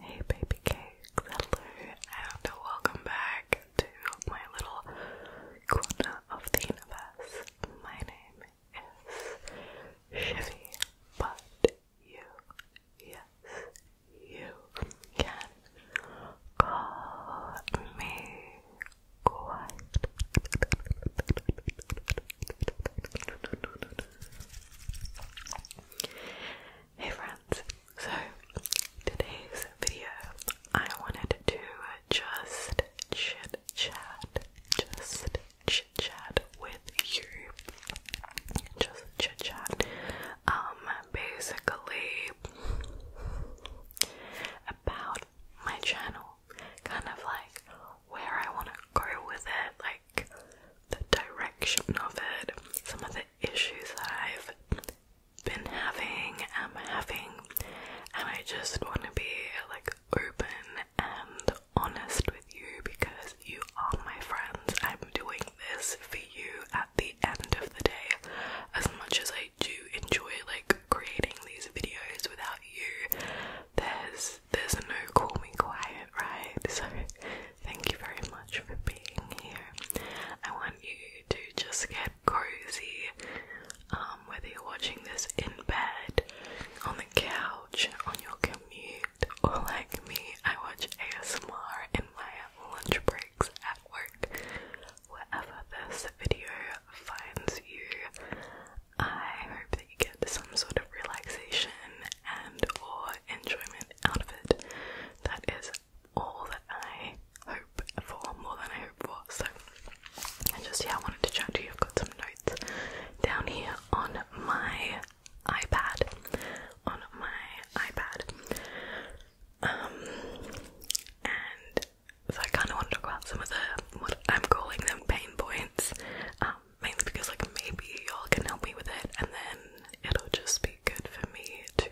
Hey baby cakes, hello and welcome back to my little corner of the universe. My name is Chevy, but you, yes, you can call me quiet. Hey friends, so today's video I wanted to just chit chat, just chit chat with you. Just chit chat. Um, basically about my channel, kind of like where I want to go with it, like the direction of it, some of the issues I've been having, i am having, and I just want to be like open and honest with you because you are my friends. I'm doing this for you at the end of the day. As much as I do enjoy like creating these videos without you, there's there's no call me quiet, right? So thank you very much for being here. I want you to just get cozy, um, whether you're watching this in bed, on the couch, on your commute, or like me, I watch ASMR in my lunch breaks at work. Wherever this video finds you, I hope that get some sort of relaxation and or enjoyment out of it. That is all that I hope for, more than I hope for. So just yeah, I wanted to chat to you. I've got some notes down here on my iPad. On my iPad. Um and so I kinda want to talk about some of the what I'm calling them pain points. Um mainly because like maybe y'all can help me with it and then it'll just be good for me to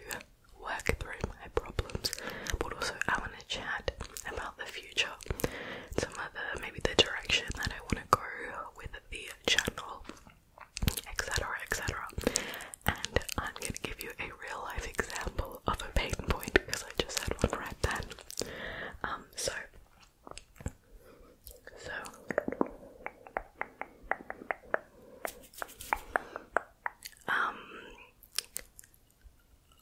work through my problems but also I want to chat about the future some other maybe the direction that I want to go with the channel etc etc and I'm gonna give you a real life example of a pain point because I just had one right then um, so so um,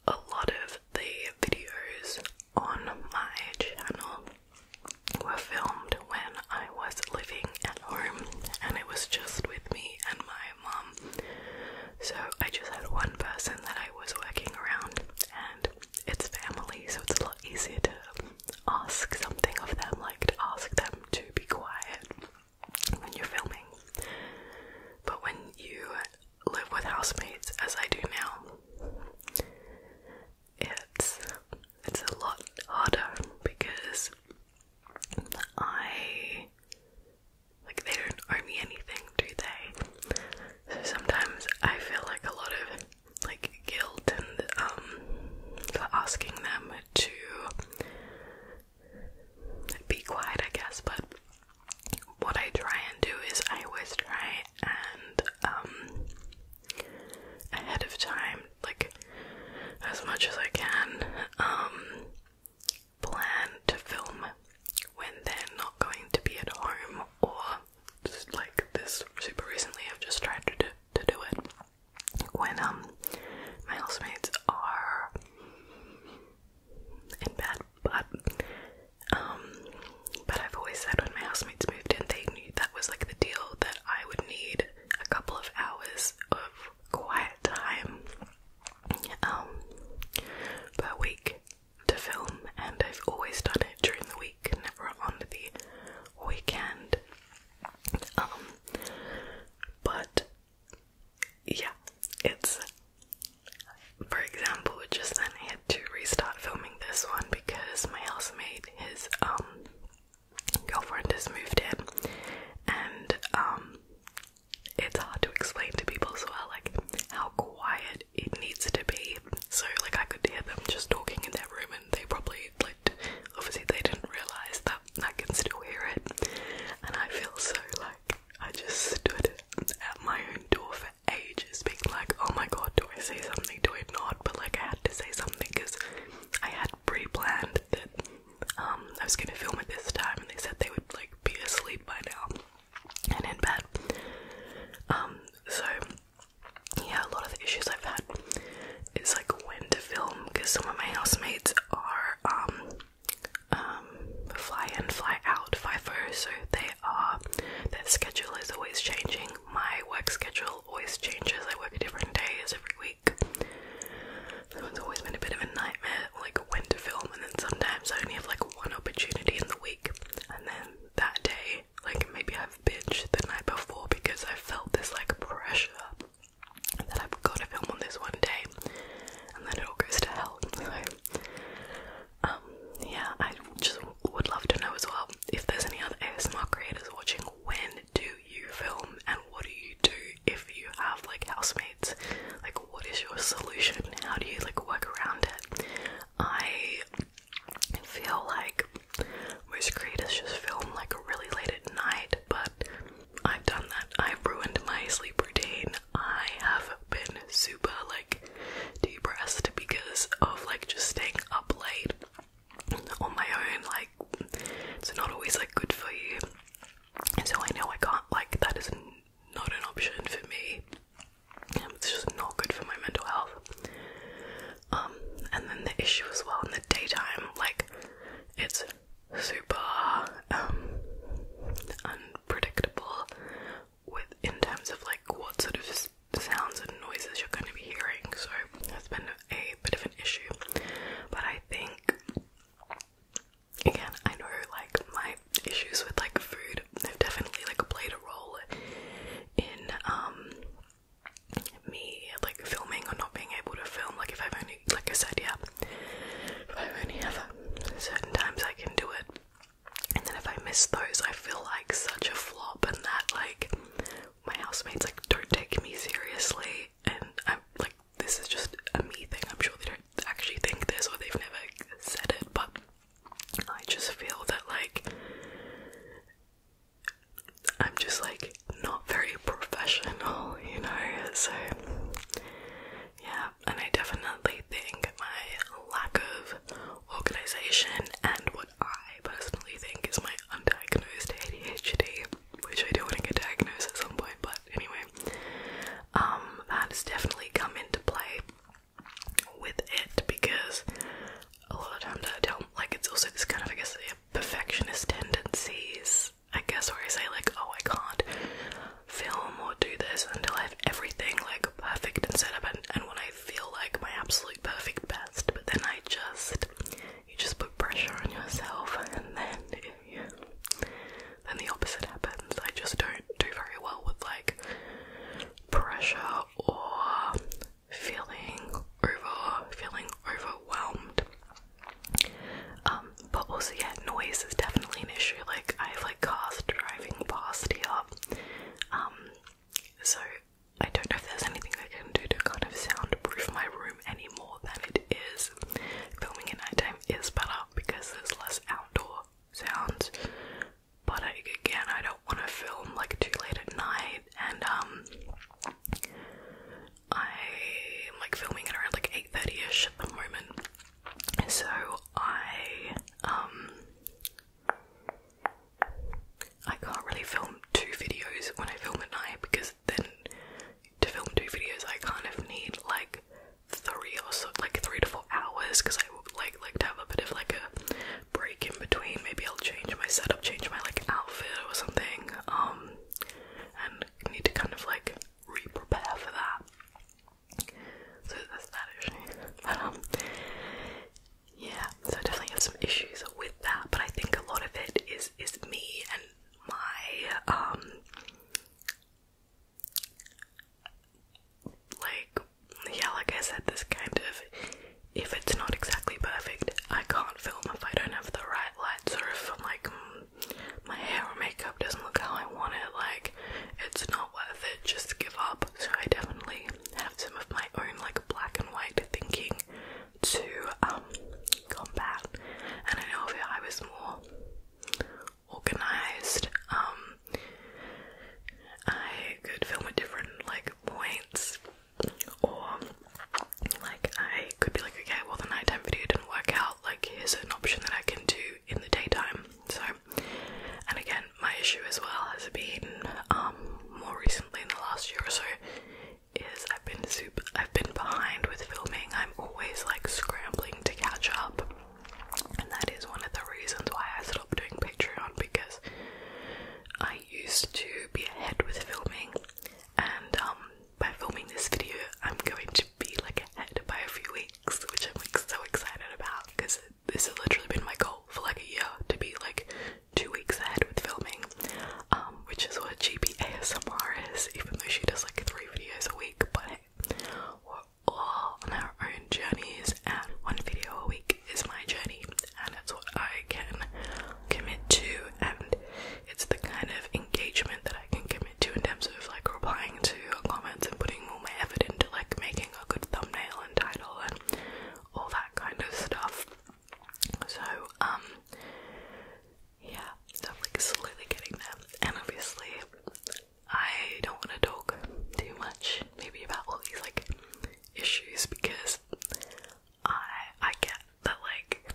a lot of the videos on my channel were filmed when I was living at home and it was just with me and my mom. So I just had one person that I was working around and it's family so it's a lot easier to ask something of them, like to ask them to be quiet when you're filming. But when you live with housemates, as I do now, it's it's a lot harder because I like they don't owe me anything, do they? So sometimes I feel like a lot of like guilt and um for asking them to be quiet I guess but what I try and do is I always try and um ahead of time like as much as I can um plan to film when they're not going to be at home or like this super recently. I've just tried to do, to do it when um my housemates are in bed, but um, but I've always said when my housemates moved in, they knew that was like the deal that I would need a couple of hours of quiet time um per week to film, and I've always done it during the week, never on the weekend. Um, but yeah, it's for example, just then I had to restart filming this one because my housemate, his um girlfriend has moved in and um it's hard to explain to people as well like how quiet it needs to be. So like I could hear them just talking in that room and they probably obviously they didn't realise that I can still hear it and I feel so like I just stood at my own door for ages being like oh my god do I say something do I not but like I had to say something because I had pre-planned that um, I was gonna film it this time and they said they would like be asleep by now and in bed um, so yeah, a lot of the issues I've had is like when to film because some of my housemates are um um fly in, fly out, FIFO, so they are their schedule is always changing. My work schedule always changes. I work different days every week. So it's always been a bit of a nightmare, like when to film, and then sometimes I only have like one opportunity in the week, and then that day like maybe I've bitched the night before because I felt this like pressure that I've got to film on this one day, and then it all goes to hell. um, yeah, I just would love to know as well if there's any other ASMR creators watching. When do you film, and what do you do if you have like housemates? Like, what is your solution? How do you like work around it? I I feel like my most is just filmed like really late at night, but I've done that. I've ruined my sleep routine. I have been super like depressed because of like just staying up late on my own. Like, it's not always like good for you. So I know I can't, like, that is not an option for me. It's just not good for my mental health. Um, and then the issue as well in the daytime, like it's super um, unpredictable with in terms of like what sort of sounds and noises you're going to be hearing. So that's been a bit of an issue, but I think again I know like my issues with like food have definitely like played a role in um me like filming or not being able to film. Like if I've only, like I said, yeah, if I only have certain times I can do it, and then if I miss those, I feel like such a flop, and that like my housemates like don't take me seriously, and I'm like this is just a me thing. I'm sure they don't actually think this or they've never said it, but I just feel that like I'm just like not very professional, you know, so yeah, and I definitely think my lack of organization and what I personally think is my undiagnosed ADHD, which I do want to get diagnosed at some point, but anyway, um, that has definitely come into play with it because a lot of times I don't like it's also this kind of I guess perfectionist tendencies, I guess, where I say, like, oh, I can't film or do this until I have everything like perfect and set up, and, and when I feel like my absolute perfect best, but then I just you just put pressure on yourself, and then if then the opposite happens. I just don't do very well with like pressure or feeling over feeling overwhelmed. Um, but also yeah, noise is definitely an issue. Like I have like cars driving past here. Um, so I don't know if there's anything I can do to kind of soundproof my room any more than it is. Filming at nighttime is better because there's less outdoor sounds. But I, again, I don't want to film like too late at night, and um, I'm like filming at around like 8.30ish at the moment. So I um I can't really film two videos when I film at night because then to film two videos I kind of need like three or so like three to four hours because I would like like to have a bit of like a break in between. Maybe I'll change my setup, change my like outfit or something um, and need to kind of like re for that. So that's that issue. But um, yeah. So I definitely have some issues with that, but I think a lot of it is is me and my um, like yeah, like I said, this kind of if it's not exactly perfect, I can't film if I don't have the right lights or if like my hair or makeup doesn't look how I want it, like it's not worth it, just give up. So I definitely have some of my own like black and white thinking to um combat. And I know if I was more organized, um, I could film at different like points or like I could be like, okay, well the nighttime video didn't work out, like here's an option that I can do in the daytime. So and again my issue as well has been um, more recently in the last year or so is I've been super I've been behind with filming. I'm always like scrambling to catch up. And that is one of the reasons why I stopped doing Patreon because I used to be ahead with filming and um, by filming this video I'm going to be like ahead by a few weeks which I'm like so excited about because this has literally been my goal for like a year to be like two weeks ahead with filming um, which is what GBASMR is even though she does like three videos a week but we're all on our own journeys and one video a week is my journey and it's what I can commit to, and it's the kind of engagement that I can commit to in terms of like replying to comments and putting all my effort into like making a good thumbnail and title and all that kind of stuff. So, um, yeah, so I'm like slowly getting there, and obviously, I don't want to talk too much, maybe about all these like issues because I I get that like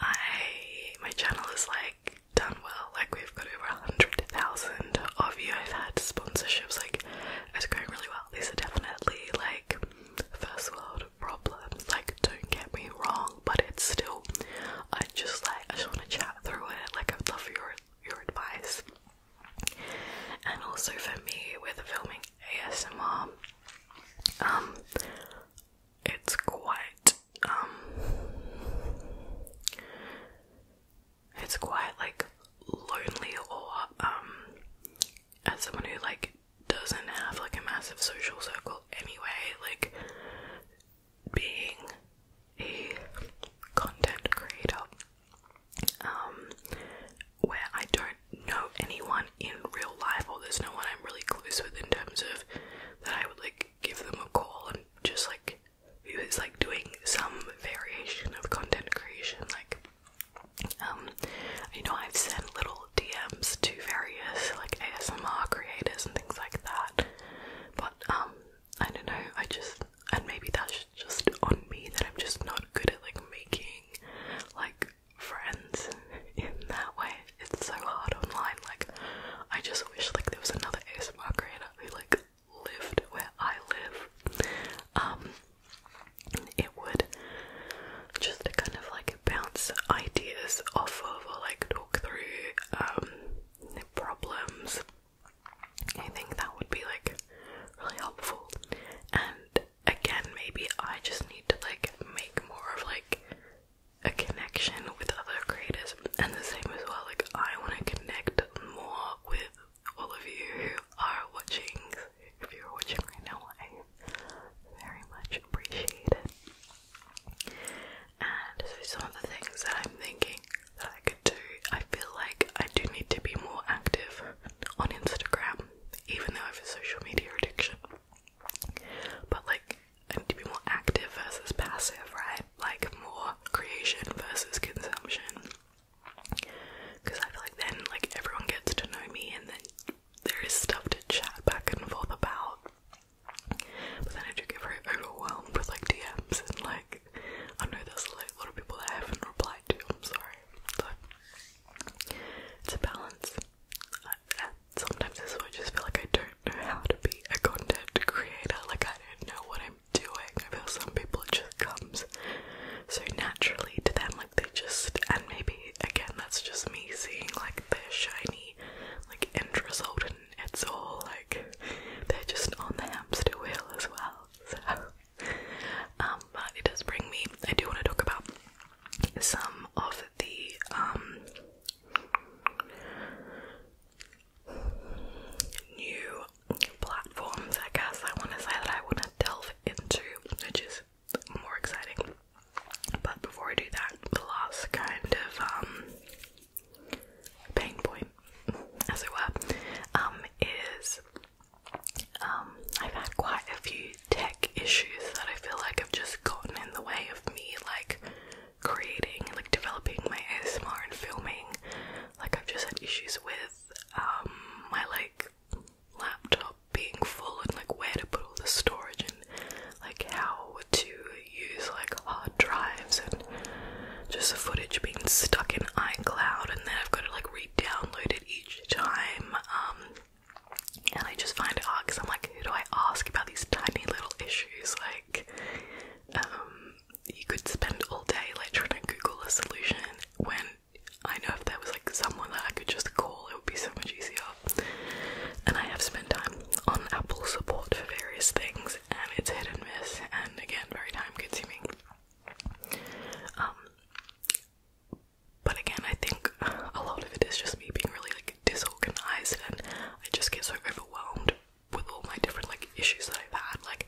I my channel is like done well. Like we've got over a hundred thousand of you. I've had sponsorships. Like it's going really well. These are definitely like first world problems. Like don't get me wrong, but it's still. I just like I just want to chat through it. Like i love your your advice. And also for me with filming ASMR, um, it's quite, um, it's quite like lonely or, um, as someone who like doesn't have like a massive social circle anyway, like being a content creator, um, where I don't know anyone in real life, or there's no one I'm really close with in terms of that I would like give them a call and just like who is like doing some variation of content creation. Like, um, you know, I've sent little DMs to various like ASMR creators and things like that, but um, I don't know, I just and maybe that's just on me that I'm just not good at like making like friends in that way. It's so hard online. Like, I just wish like there was another ASMR creator who like lived where I live. Um, it would just kind of like bounce ideas off of or like talk through um problems. I think that would be like really helpful, and again, maybe I just need to like make more of like a connection with other creators, and the same as well. Like, I want to connect more with all of you who are watching. If you're watching right now, I very much appreciate it. And so, some of the things that I'm thinking that I could do, I feel like I do need to be more active on Instagram, even though I have a social media addiction. But like, and to be more active versus passive, right? Like more creation versus consumption. Because I feel like then, like everyone gets to know me, and then there is stuff to chat back and forth about. But then I do get very overwhelmed with like DMs and like I know there's like a lot of people that haven't replied to. I'm sorry. So it's a balance. And sometimes this is why I just feel like I don't know how to be a content creator. Like I don't know what I'm doing. I feel some people it just comes so naturally to them. Like they just and maybe again that's just me seeing like their shiny like end result and it's all like they're just on the hamster wheel as well. So um but it does bring me I do want to talk about some of the um, new platforms I guess I wanna say that I wanna delve into, which is more exciting. But before I do that, the last kind of um, pain point, as it were, um, is I've had quite a few tech issues that I feel like have just gotten in the way of me like creating, like developing my ASMR and filming. Like I've just had issues with um my like laptop being full and like where to put all the storage and like how to use like hard drives and just the footage being stuck in iCloud and then I've got to like re-download it each time. Um and I just find it hard because I'm like, who do I ask about these tiny little issues? Like, um, you could spend all day like trying to Google a solution when I know if there was like someone that I could just call, it would be so much easier. And I have spent time on Apple support for various things, and it's hit and miss, and again, very time consuming. Um, but again, I think a lot of it is just me being really like disorganized and I just get so overwhelmed with all my different like issues that I've had. Like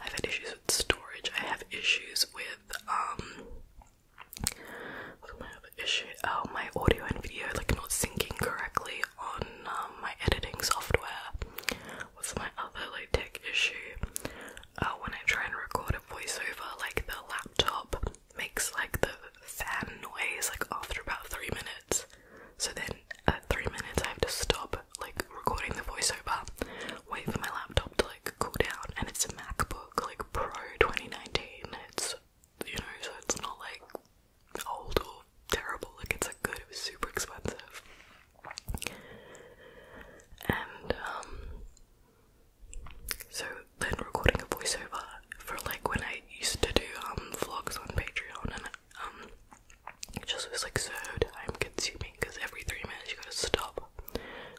I've had issues with storage, I have issues with um what's my other issue? Oh my audio and video like not syncing correctly on um, my editing software. What's my other like tech issue? Uh, when I try and record a voiceover, like the laptop makes like the fan noise like after about three minutes. So then at three minutes I have to stop like recording the voiceover, wait for my laptop to like cool down and it's a MacBook like Pro 2019. It's you know, so it's not like old or terrible, like it's like good it was super expensive. And um, so then recording a voiceover for like when I used to do um, vlogs on Patreon and um, it just was like so time consuming because every three minutes you gotta stop,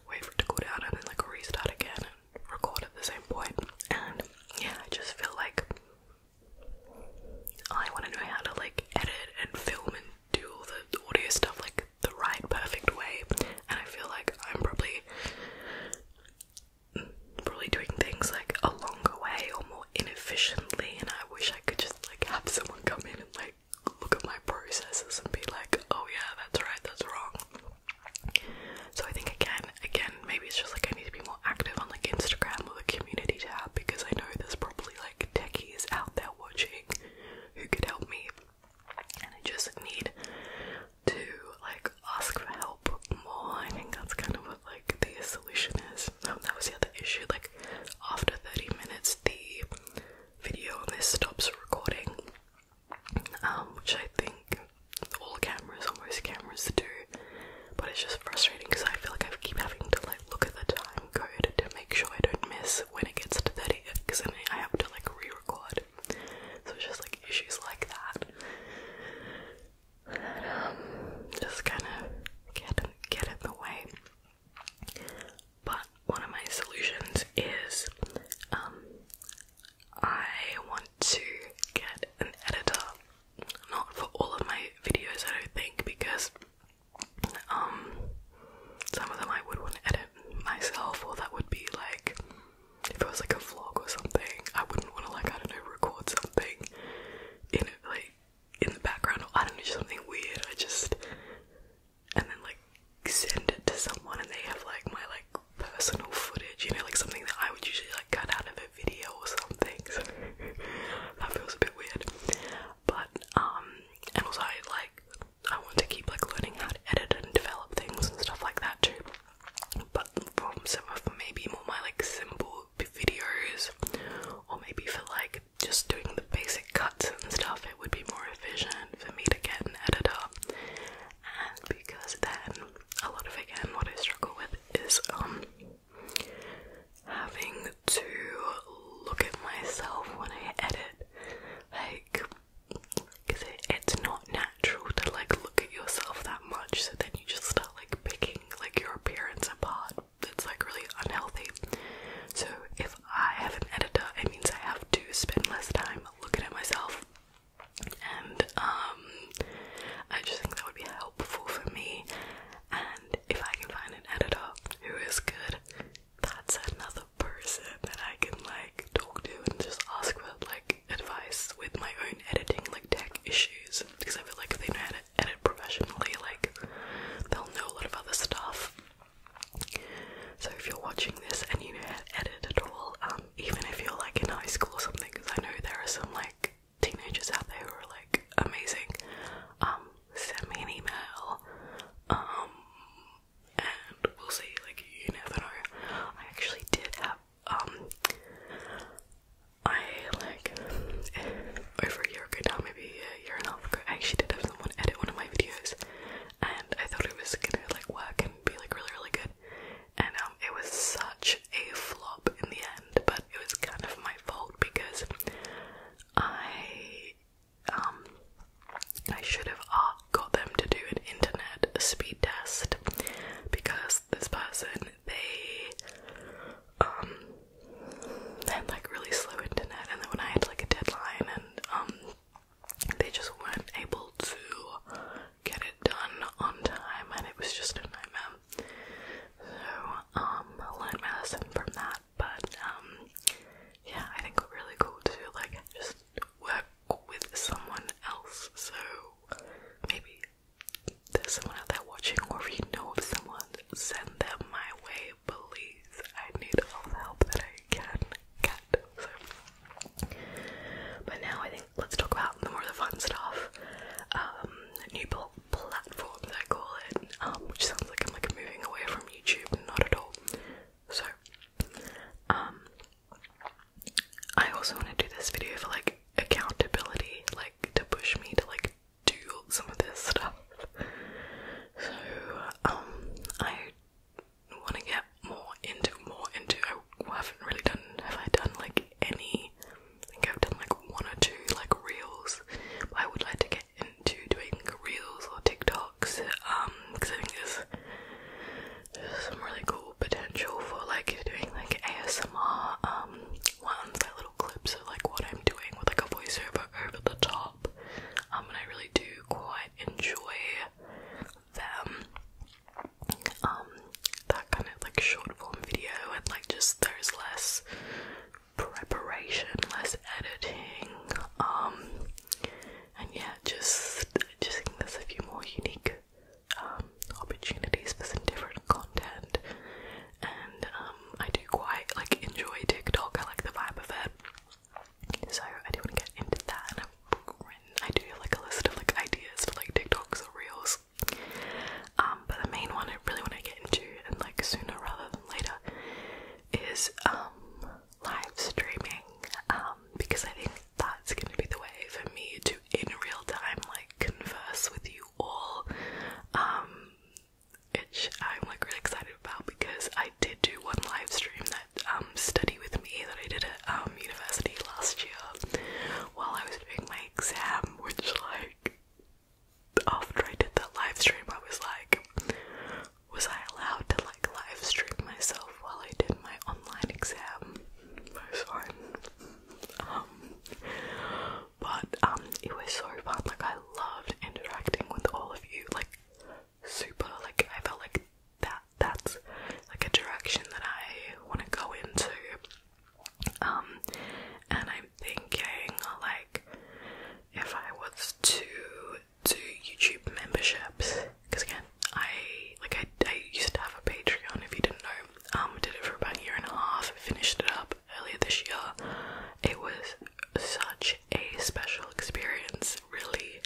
wait for it to cool down and then like restart again and record at the same point. And yeah, I just feel like I wanna know how to like edit and film and do all the audio stuff like the right perfect way and I feel like I'm probably probably doing things like a longer way or more inefficiently and I wish I could just like have someone come in and like look at my processes and be like, oh yeah, that's right, that's wrong. So I think again, again, maybe it's just like I need to be more active on like Instagram or the community tab because I know there's probably like techies out there watching who could help me and I just need to like ask for help more. I think that's kind of what like the solution is. Um, that was the other issue. Like after 30 minutes, the video on this stops recording, um, which I think all cameras, almost most cameras, do. But it's just frustrating because I feel like I keep having to like look at the time code to make sure I don't miss when it gets to 30 because then I have to like re-record so it's just like issues like that. Um, just kind of get get in the way. But one of my solutions is um, I want to get an editor. Not for all of my videos, I don't think, because um, some of them I would want to edit myself, or that would be like if it was like a vlog or something, I wouldn't want to like I don't know record something in it like in the background or I don't know something weird. I just and then like send it to someone and they have like my like personal footage, you know, like something that I would usually like cut out of a video or something. So that feels a bit weird. But um and also I like I want to keep like learning how to edit and develop things and stuff like that too but from some of maybe more my like simple videos or maybe for like just doing the basic cuts and stuff it would be more efficient for me to get an editor and because then a lot of again what I struggle with is um having to look at myself when I edit like because it's not natural to like look at yourself that much, so then you just start like picking like your appearance apart. It's like really unhealthy. So if I have an editor, it means I have to spend less time looking at myself, and um, I just think that would be helpful for me. And if I can find an editor who is good, that's another person that I can like talk to and just ask for like advice with my own editing like tech issues because I feel like they know how to edit professionally, like they'll know a lot of other stuff. So if you're watching this and you know how to edit at all, um, even if you're like in high school or something, because I know there are some like teenagers out there who are like amazing, um, send me an email. Um and we'll see, like you never know. I actually did have um, I like over a year ago now, maybe a year and a half ago, I actually did have someone edit one of my videos, and I thought it was gonna like work and be like really really good, and um, it was such a flop in the end, but it was kind of my fault because I um I should have uh, got them to do an internet speed test because this person they um had like really slow internet and then when I had like a deadline and um they just weren't able to get it done on time and it was just a nightmare. So um learned my from that but um yeah I think really cool to like just with someone else. So maybe there's someone out there watching, or if you know of someone, send them my way, please. I need all the help that I can get. So. But now I think let's talk about the more of the fun stuff. Um, new pl platforms, I call it, um, which sounds like I'm like moving away from YouTube, not at all. So, um, I also want to do this video for like accountability, like to push me to like do some of this stuff. So, um, I want to get more into more into. I haven't really done. Have I done like any? I think I've done like one or two like reels. I would like to get into doing reels or TikToks. Um, because I think it's there's some really cool potential for like doing like ASMR um, ones, like little clips of like what I'm doing with like a voiceover over the top. Um and I really do quite enjoy them. Um that kind of like short form video and like just there's less preparation, less editing, um and yeah, just just think there's a few more unique um, opportunities for some different content, and um, I do quite like enjoy TikTok. I like the vibe of it, so I do want to get into that. I've do have like a list of like ideas for like TikToks or reels. Um, but the main one I really want to get into, and like sooner rather than later, is live streaming. because I think that's gonna be the way for me to in real time like converse with you all. Um which I'm like really excited about because I did do one live stream that um study with me that I did at um university last year while I was doing my exam, which like after I did that live stream I was like was I allowed to like live stream myself while I did my online exam? I'm sorry um, but um, it was so fun. Like I loved interacting with all of you. Like super. Like I felt like that. That's like a direction that I want to go into. Um, and I'm thinking like if I was to do YouTube memberships, because again I like I, I used to have a Patreon if you didn't know. Um did it for about a year and a half, finished it up earlier this year. It was such a special experience, really.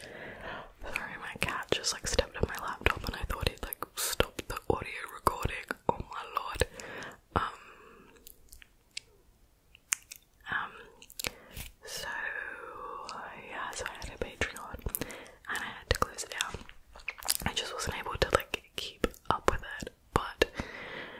Sorry, my cat just like stepped on my laptop and I thought it like stopped the audio recording. Oh my lord. Um, um so yeah, so I had a Patreon and I had to close it down. I just wasn't able to like keep up with it, but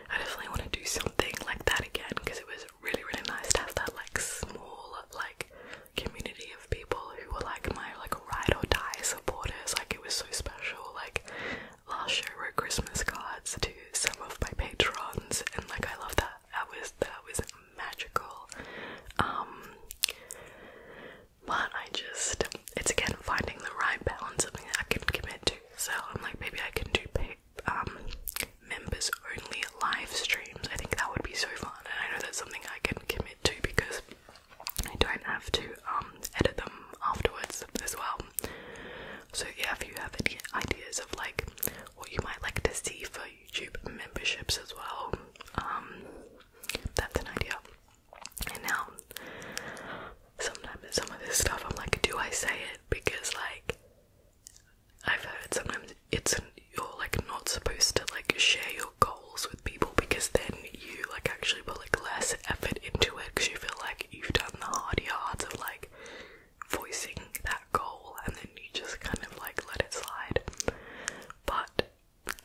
I definitely want to do something like that again because it was really really nice to have that like small like community of people who were like my like ride or die supporters. Like it was so special. Like last year we wrote Christmas cards to some of my patrons and like I love that. That was that was magical. Um but I just it's again finding the right balance, something that I can commit to. So I'm like, maybe I can do um members only live streams. I think that would be so fun, and I know that's something I can commit to because I don't have to um edit them afterwards as well. So yeah, if you have any ideas of like what you might like to see for YouTube memberships as well, um, that's an idea. And now, sometimes some of this stuff, I'm like, do I say it? Because like, I've heard sometimes it's you're like not supposed to like share your goals with people because then you like actually put like less effort into it because you feel like you've done the hard yards of like voicing that goal and then you just kind of like let it slide. But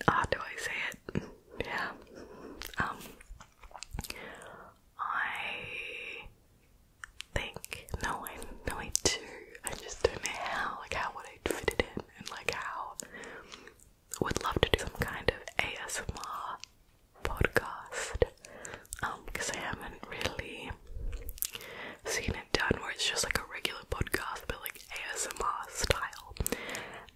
how ah, do I say it? Yeah. Um I think no I no I do. I just don't know how, like how would I fit it in and like how would love to do some kind of ASMR podcast. Um, because I haven't really seen it done where it's just like a regular podcast but like ASMR style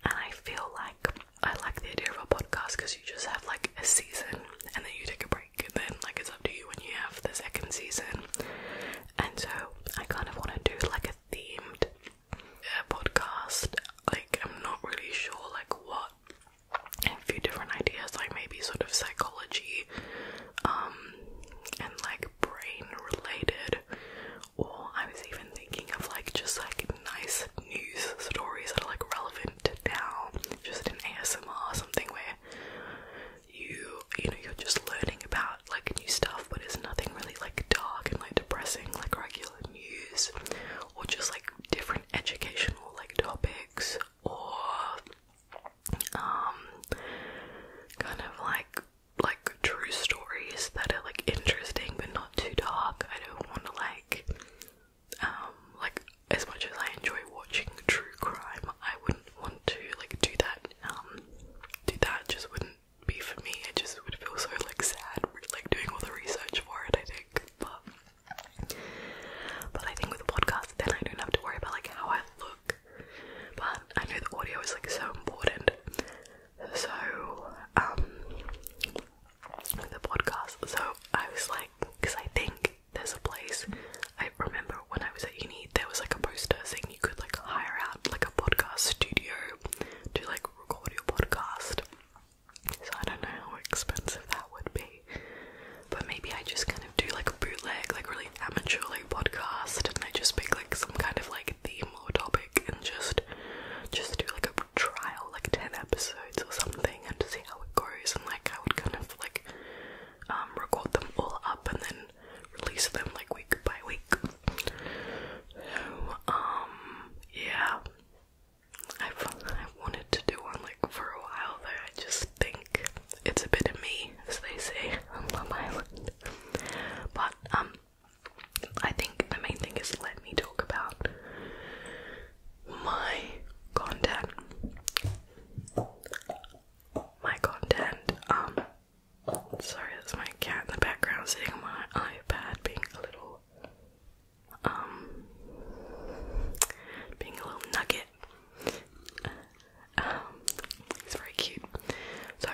and I feel like I like the idea of a podcast because you just have like a season and then you take a break and then like it's up to you when you have the second season. And so I kind of want to do like a themed uh, podcast. Like I'm not really sure like what a few different ideas like maybe sort of psychology um and like brain related or I was even thinking of like just like nice news stories that are like relevant now, just in ASMR, something where you you know you're just learning about like new stuff, but it's nothing really like dark and like depressing like regular news, or just like different educational like topics or um kind of like like true stories that are like interesting but not too dark. I don't want to like um like as much as I enjoy watching true crime, I wouldn't want to like do that. Um, do that just wouldn't be for me. It just would feel so like sad, like doing all the research for it. I think, but but I think with a podcast, then I don't have to worry about like how I look. But I know the audio is like so important. So, um, the podcast. So I was like, because I think there's a place. I remember when I was at uni, there was like a poster saying you could like hire out like a podcast studio to like record your podcast. So I don't know how expensive that would be, but maybe I just kind of do like a bootleg, like really amateur like podcast, and I just pick like some kind of like theme topic and just just do like a trial, like ten episodes or something, and see how it goes. And like I would kind of like um, record them all up and then release them like week by week. So um yeah, I've I wanted to do one like for a while There, I just think it's a bit of me, as they say on Love Island. But um I think the main thing is let me talk about my content. My content, um, sorry, that's my cat in the background sitting on my iPad being a little, um, being a little nugget. Um, it's very cute. So,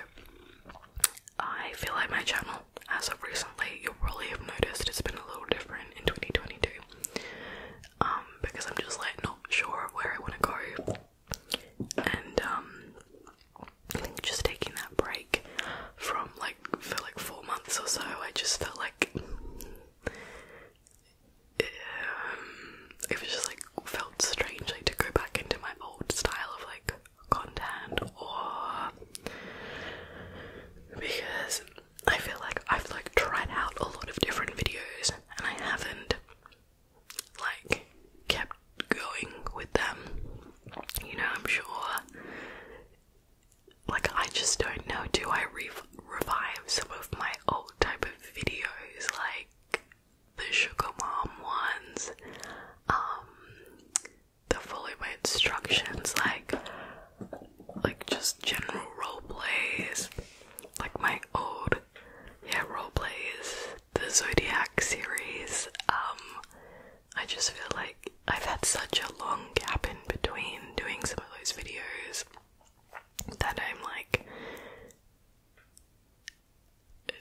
I feel like my channel as of recently, you'll probably have noticed it's been a little different in 2022 um, because I'm just like not sure where I want to go, and um, just taking that break from like for like four months or so, I just felt like um, it was just like felt strange to go back into my old style of like content or because I feel like I've like tried out a lot of different videos and I haven't like kept going with them. You know, I'm sure like I just don't know do I re revive some of my old type of videos like the sugar mom ones um the fully by instructions, like like just general role plays, like my old yeah role plays, the Zodiac series. Um, I just feel like I've had such a long gap in between doing some of those videos that I'm like,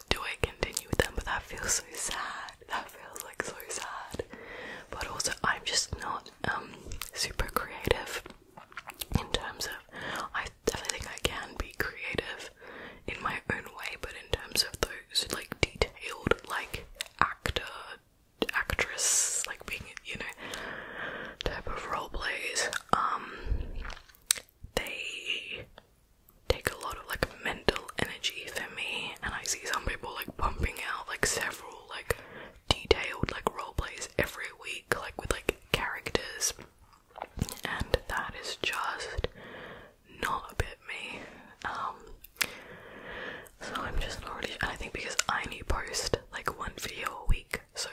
do I continue with them? But that feels so sad that feels like so sad. But also, I'm just not um, super creative in terms of. I definitely think I can be creative in my own way, but in terms of those like detailed like actor, actress, like being you know type of role plays, um, they take a lot of like mental energy for me and I see some people like pumping out like several like detailed like role plays every week like with like characters and that is just not a bit me. Um so I'm just not really and I think because I only post like one video a week so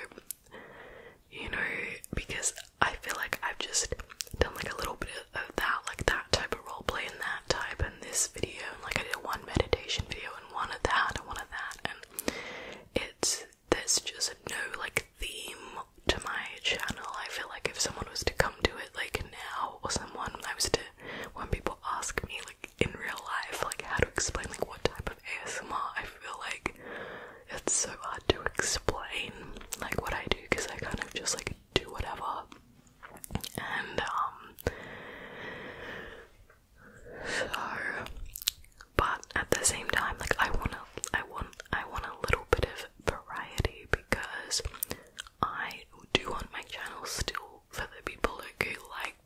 you know because I feel like I've just done like a little bit of that like that type of role play and that type and this video and like I did one meditation video and one of that and one of that and it's there's just no like theme to my channel. I feel like if someone was to come to it like now or someone I was to when people ask me like in real life like how to explain like what type of ASMR I feel like it's so hard to explain like what I do because I kind of just like do whatever. And um so but at the same time like I wanna I want I want a little bit of variety because I do want my channel still for the people who like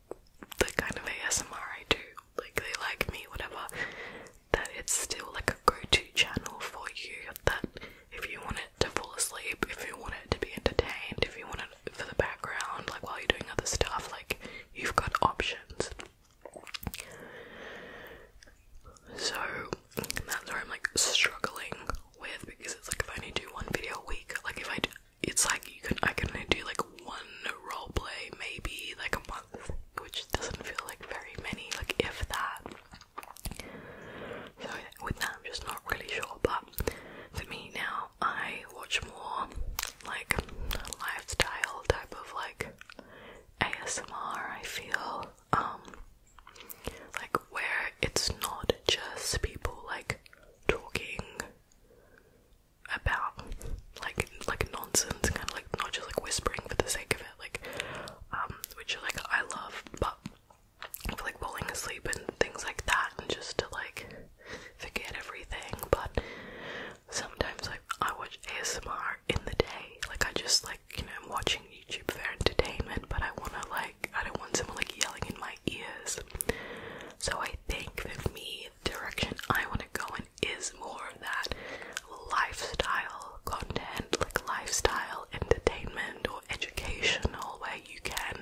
the kind of ASMR I do, like they like me, whatever, that it's still like a go to channel for you that if you want it to fall asleep, if you want it to be entertained, if you want it for the background, like while you're doing other stuff, like you've got options. So that's where I'm like struggling with because it's like if I only do one video a week, like if I do, it's like you can I can only do like one role play maybe like a month, which doesn't feel like very many, like if that. So with that, I'm just not really sure. But for me now, I watch more like lifestyle type of like ASMR. I feel um like where it's not just people like talking about like like nonsense, kind of like not just like whispering for the sake of it, like um which like I love, but for like falling asleep and things like that and just to like forget everything but sometimes like I watch ASMR in the day like I just like you know I'm watching YouTube for entertainment but I wanna like I don't want someone like yelling in my ears so I think for me the direction I wanna go in is more of that lifestyle content like lifestyle well entertainment or educational where you can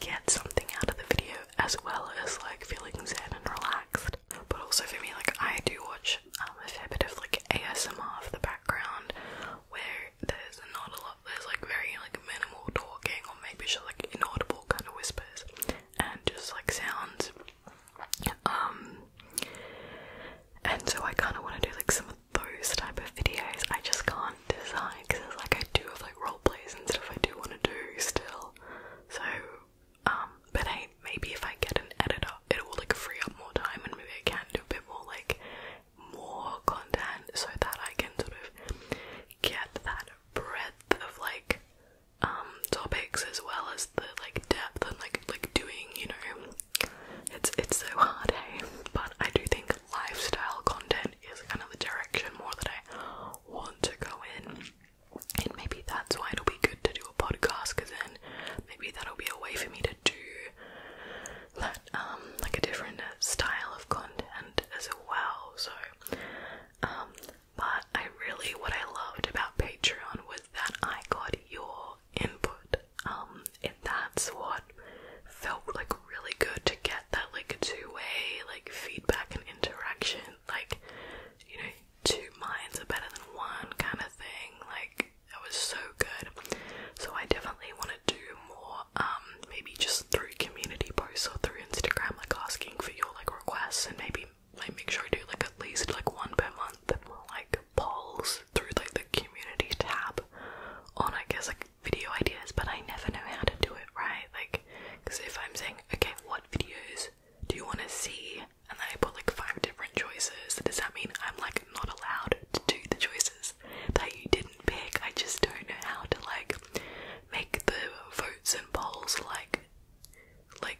get something out of the video as well as like feeling zen and relaxed. But also for me, like I do watch um, a fair bit of like ASMR for the background where there's not a lot, there's like very like minimal talking or maybe just like inaudible kind of whispers and just like sounds. Um, and so I kind of want to do like some of those type of videos I just can't decide because it's like I do have like role plays and stuff I do want to do still. So, um, but hey, maybe if I get an editor, it will like free up more time and maybe I can do a bit more like more content so that I can sort of get that breadth of like um topics as well as the like depth and like like doing, you know. It's it's so hard, hey. But I do think lifestyle content is kind of the direction more that I want to go in. And maybe that's why it'll be good to do a podcast because then maybe that'll be a way for me to do that, um, like a different uh, style of content as well. So, um, but I really, what I loved about Patreon was that I got your input. Um, and that's what felt like really good to get that like two-way like feedback and interaction like you know two minds are better than one kind of thing like it was so good so i definitely want to do more um maybe just through community posts or through instagram like asking for your like requests and maybe like make sure i do like at least like one per month like polls through like the community tab on i guess like video ideas, but I never know how to do it right. Like, because if I'm saying, okay, what videos do you want to see? And then I put like five different choices, does that mean I'm like not allowed to do the choices that you didn't pick? I just don't know how to like make the votes and polls like, like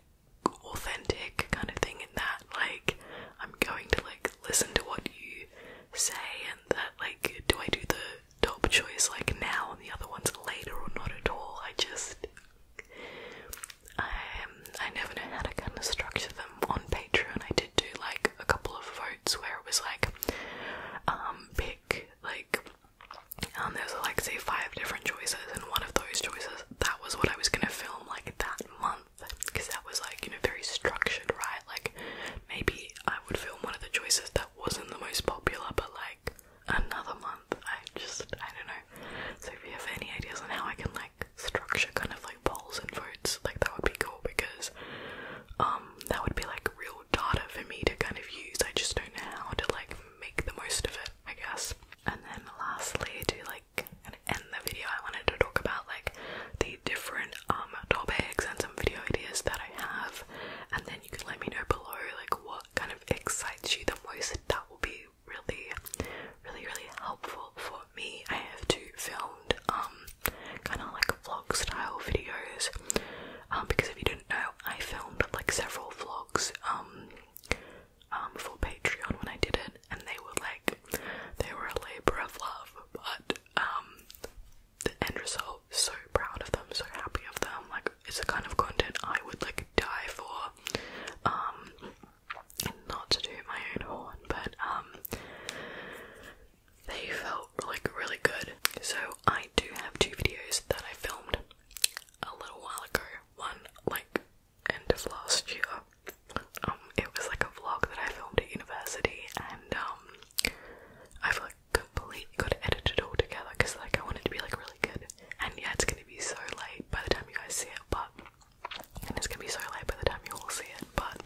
authentic kind of thing in that. Like, I'm going to like listen to what you say and that like do I do the top choice like now and the other ones later or not at all. I just I um, I never know how to kind of structure them on Patreon. I did do like a couple of votes where it was like um pick like um there's like say five different choices and one of those choices that was what I was gonna film like that month because that was like you know very structured right like maybe I would film one of the choices that wasn't the most popular, but like another month. I just, I don't know. So if you have any ideas on how I can like structure kind of like polls and votes, like that would be cool because um, that would be like real data for me to kind of use. I just don't know how to like make the most of it, I guess. And then lastly, to like end the video, I wanted to talk about like the different um topics and some video ideas that I have and then you can let me know below like what kind of excites you the most. That will be really really really helpful for me. I have to filmed um kind of like vlog style videos. Um because if you didn't know I filmed like several vlogs um um for Patreon when I did it and they were like they were a labor of love but um the end result. So proud of them, so happy of them. Like it's the kind of content I would like die for. Um, not to do my own horn, but um, they felt like really good. So I do have two videos that I filmed a little while ago. One like end of last year. Um, it was like a vlog that I filmed at university, and um, I've like completely got edited all together because like I want to be like really good. And yeah, it's gonna be so late by the time you guys see it, but it's gonna be so late by the time you all see it, but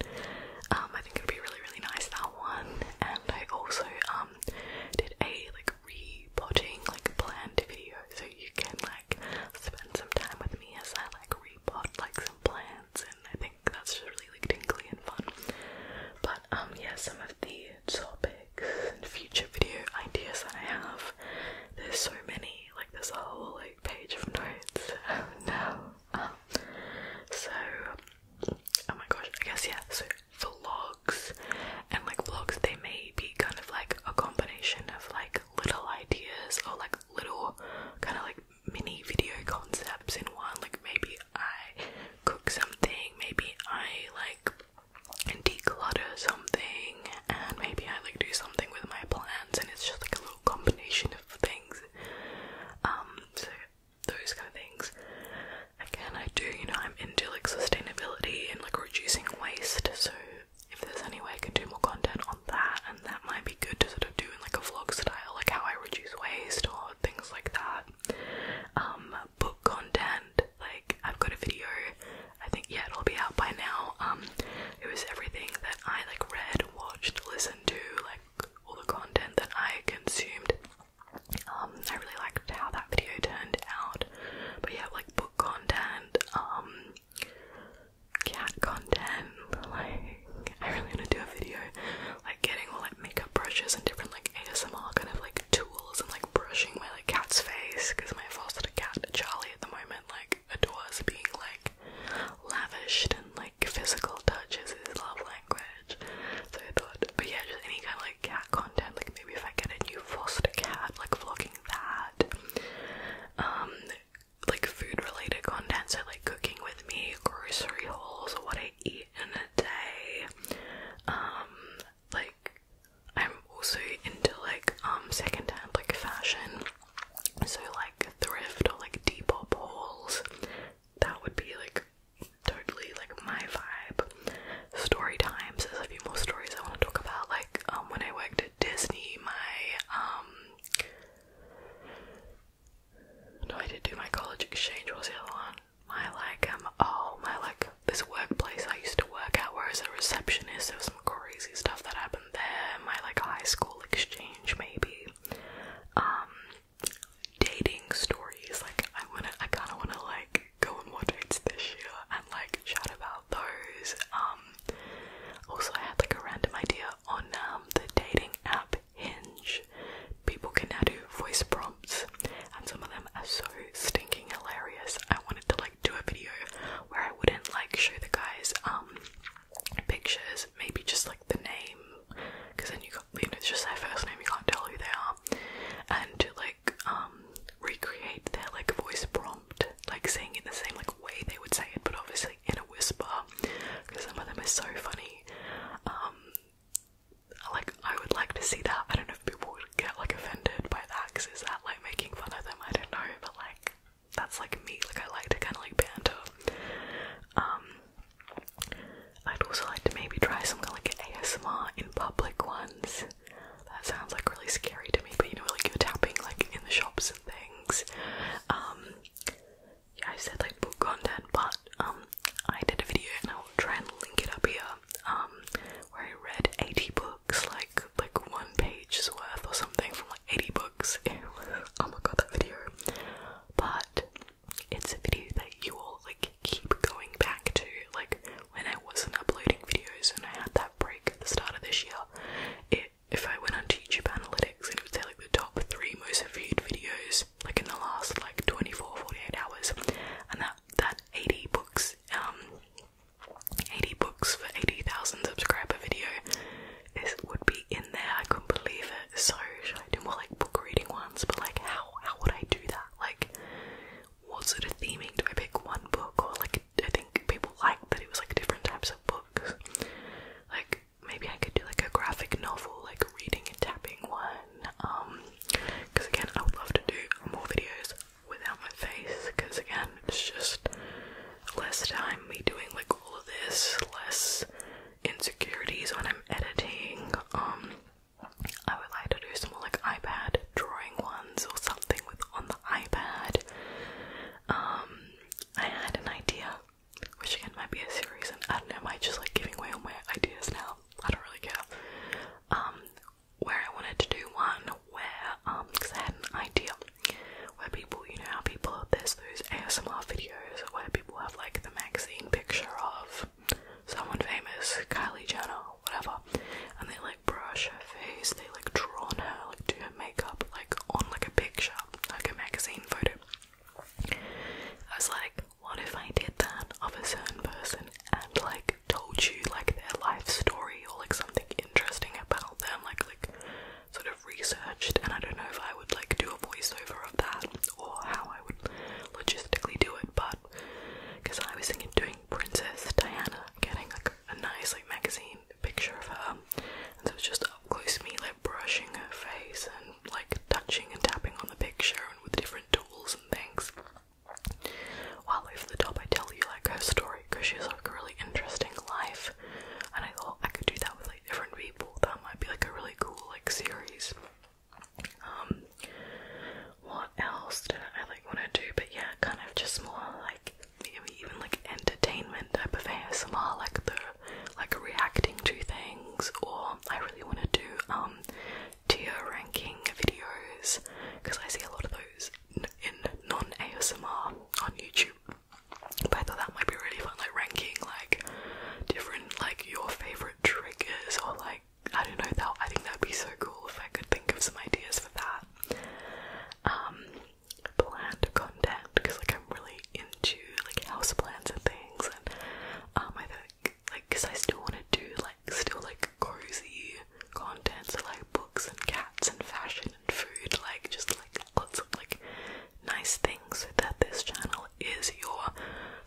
um I think it'd be really really nice that one. And I also um did a like repotting potting like plant video so you can like spend some time with me as I like repot like some plants and I think that's really like tingly and fun. But um yeah, some of the topics and future video ideas that I have. There's so many, like there's a whole like page of notes now. Um so oh my gosh, I guess yeah, so the vlogs and like vlogs they may be kind of like a combination of like little ideas or like little kind of like mini video concepts in one. Like maybe I cook something, maybe I like declutter something, and maybe I like do something with my plants, and it's just like a little combination of things. Um, so those kind of things. Again, I do, you know, I'm into like sustainability and like reducing waste, so if there's any way I can do more content on that, and that might be good to sort of do in like a vlog style, like how I reduce waste or things like that. Um, book content, like I've got a video, I think yeah it'll be out by now. Um, it was everything that I like read, watched, listened to, like all the content that I consumed. Um, I really liked how that video turned out. But yeah, like book content, um cat content, like I really want to do a video like getting all like makeup brushes and different like ASMR kind of like tools and like brushing my like cat's face because my foster cat Charlie at the moment like adores being like lavish and like physical touches is his love language. So I thought, but yeah, just any kind of like cat content. Like maybe if I get a new foster cat, like vlogging that. Um, like food related content, so like cooking with me, grocery hauls or whatever eat in a day. Um, like I'm also into like um secondhand like fashion. So like thrift or like depop hauls. That would be like totally like my vibe. Story times. There's a few more stories I want to talk about. Like um when I worked at Disney, my um no, I did do my college exchange. What was the other one? My like um oh my like this workplace I used to work at where I was a receptionist. So some crazy stuff that happened there. My like high school exchange maybe. Um, dating stories. Like I wanna, I kind of wanna like go on more dates this year and like shout about those. Um, also I had like a random idea on um the dating app Hinge. People can now do voice prompts, and some of them are so stinking hilarious. I wanted to like do a video where I wouldn't like show the guys um pictures, maybe just like the name, because then you got you know it's just their first name, you can't tell who they are, and to like um recreate their like voice prompt, like saying it the same like way they would say it, but obviously in a whisper, because some of them are so funny. Um, like I would like to see that. I don't know if people would get like offended by that because is that like making fun of them? I don't know, but like that's like me. Like I like to kind of like banter. Um, I'd also like to maybe try something like ASMR in public ones. That sounds like really scary to me, but you know, like you're tapping like in the shops and things. Um, yeah, I said like book content, but um, I did a video and I'll try and link it up here, um, where I read 80 books, like like one page's worth or something from like 80 books. Ew. Oh my god, that video. But it's a video that you will like keep going back to. Like when I wasn't uploading videos and I had that break at the start of this year, if I went onto YouTube Analytics and it would say like the top three most viewed videos like in the last like 24 48 hours and that that 80 books um 80 books for 80,000 subscriber video is would be in there I couldn't believe it so should I do more like book reading ones but like how how would I do that like what sort of theming do I pick one book or like I think people liked that it was like different types of books like maybe I could do like a graphic novel like reading and tapping one um because again I would love to do more videos without my face because again it's just less time me doing like all of this, less insecurities when I'm editing. Um I would like to do some more like iPad drawing ones or something with on the iPad. Um I had an idea which again might be a series and I don't know, am I just like giving away all my ideas now? I don't really care. Um, where I wanted to do one where, um, because I had an idea where people, you know, how people, there's those ASMR videos where people have like the magazine picture of someone famous, Kylie Jenner, whatever, and they like brush her face, they like draw on her, like do her makeup, like on like a picture, like a magazine photo. I was like, what if I did that of a certain person and like told you like their life story or like something interesting about them, like like sort of researched and I don't know if I would like do a voiceover of that or how I would logistically do it, but because I was thinking doing Princess Diana, getting like a nice like magazine picture of her, and so was just a close me, like brushing her face and like touching and tapping on the picture and with different tools struggles and things. While the top, I tell you like her story because she's like a really interesting life, and I thought I could do that with like different people. That might be like a really cool like series. Um, what else did I like want to do? But yeah, kind of just more like maybe even like entertainment type of ASMR, like the like reacting to things. Or I really want to do um tier ranking videos because I see a lot of those in, non ASMR on YouTube. But I thought that might be really fun, like ranking like different like your favorite triggers or like I don't know that I think that'd be so cool if I could think of some ideas for that. Um, plant content because like I'm really into like house plants and things, and um, I like because I still want to do like still like cozy content so like books and cats and fashion and food like just like lots of like nice things that this channel is your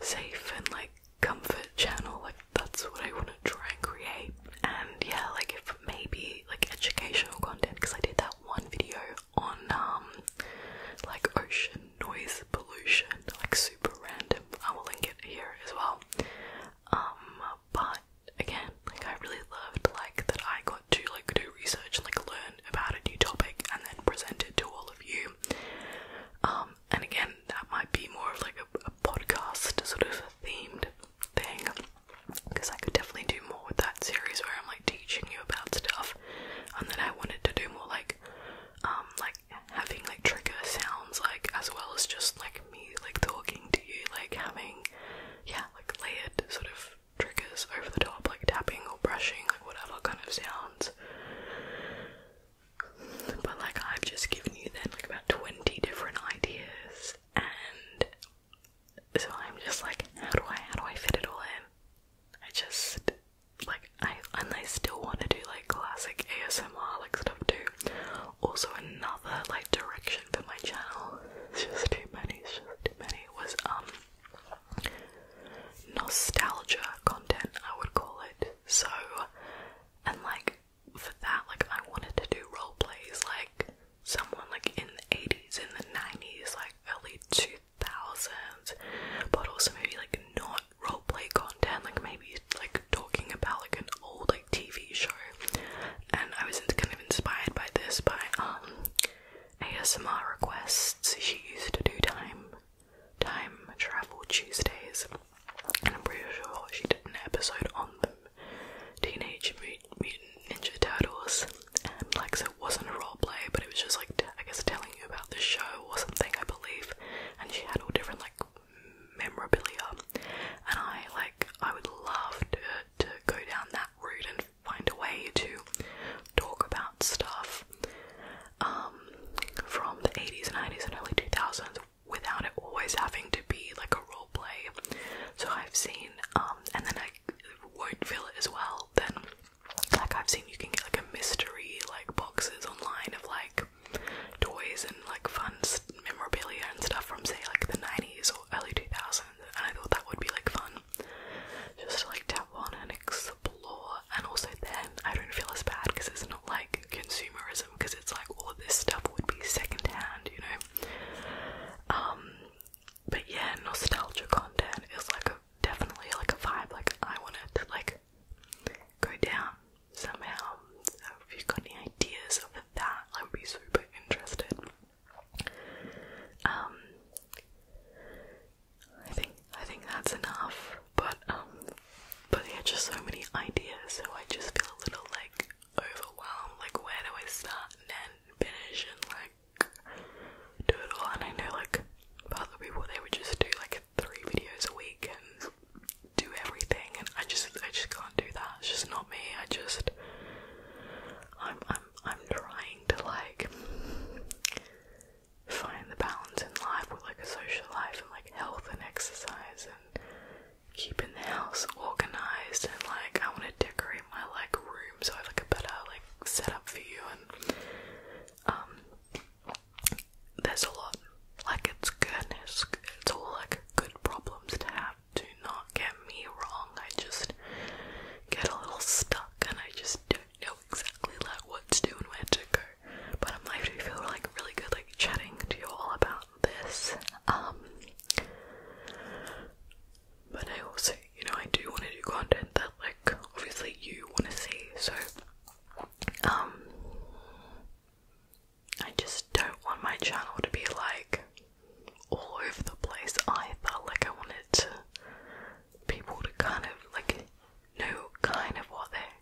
safe and like comfort channel like that's what I want to try and create and yeah like if maybe like educational content because I did that one video on um like ocean noise pollution like super random I will link it here as well. Um, but again, like I really loved like that I got to like do research and like learn about a new topic and then present it to all of you. Um, and again, that might be more of like a podcast sort of themed thing because I could definitely do more with that series where I'm like teaching you about stuff, and then I wanted to do more like like um like having like trigger sounds like as well as just like me like talking to you like having yeah like layered sort of triggers over the top like tapping or brushing like whatever kind of sounds but like I've just given you then about 20 different ideas and so I'm just like how do I how do I fit it all in I just like I and I still want to do like classic ASMR like stuff too. Also another like direction for my channel. It's just too many, it's just too many. was um nostalgia content I would call it. So and like for that like I wanted to do role plays like someone like in the 80s, in the 90s, like early 2000s, but also maybe like not on roleplay content, like maybe like talking about like an old like TV show. And I was kind of inspired by this by um ASMR requests. She used to do time time travel Tuesdays, and I'm pretty sure she did an episode on them. Teenage Mutant Ninja Turtles, and like it wasn't a roleplay, but it was just like I guess telling you about the show or something, I believe. And she had all different like memorabilia, and I like I would love to go down that route and find a way to talk about stuff um, from the 80s 90s and early 2000s without it always having to be like a role play. So I've seen, um, and then I won't feel it as well. Then, like I've seen, you can get like a mystery like boxes online of like toys and like fun memorabilia and stuff from say like the 90s or early 2000s and I thought that would be like fun just to like tap on and explore and also then I don't feel as bad because it's not like consumerism because it's like all of this stuff would be second hand, you know um but yeah nostalgia content is like a definitely like a vibe like I want it to like go down somehow. So if you've got any ideas of that, I'd be super interested. Um, I think I think that's enough. But um, but yeah, just so many ideas. So I just feel a little like overwhelmed. Like where do I start and finish, and like do it all? And I know like the people they would just do like three videos a week and do everything and I just I just can't do that. It's just not me. I just I'm I'm I'm trying to like find the balance in life with like a social life and like health and exercise and keeping the house organized and like I wanna decorate my like room so I have like a better like setup for you and um, there's a lot. Like it's goodness, it's all like good problems to have. Do not get me wrong. I just get a little stuck, and I just don't know exactly like what to do and where to go. But I'm like, I feel like really good, like chatting to you all about this. Um, but I also, you know, I do want to do content that, like, obviously you want to see. So, um, I just don't want my channel to be like all over the place either. Like, I wanted to, people to kind of like know kind of what they're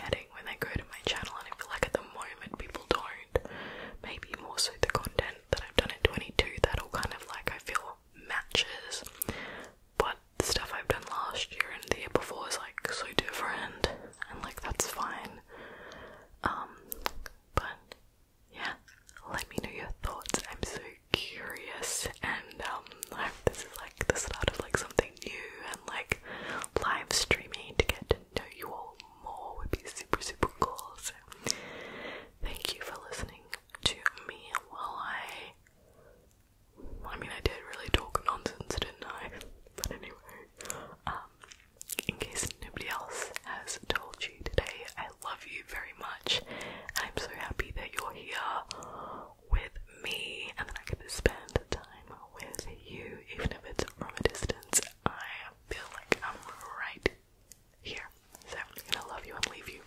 getting when they go to my channel, and I feel like at the moment people don't. Maybe more so the content that I've done in 22 that all kind of like I feel matches, but the stuff I've done last year and the year before is like so different, and like that's fine. Um, but yeah, let me know your thoughts. I'm so curious, and um, this is like the start of like something new and like live streaming to get to know you all more would be super super cool. So, thank you for listening to me while I I mean, I did really talk nonsense, didn't I? But anyway, um, in case nobody else has told you today, I love you very much. And I'm so happy that you're here with me and that I get to spend time with you, even if it's from a distance. I feel like I'm right here. So I'm gonna love you and leave you.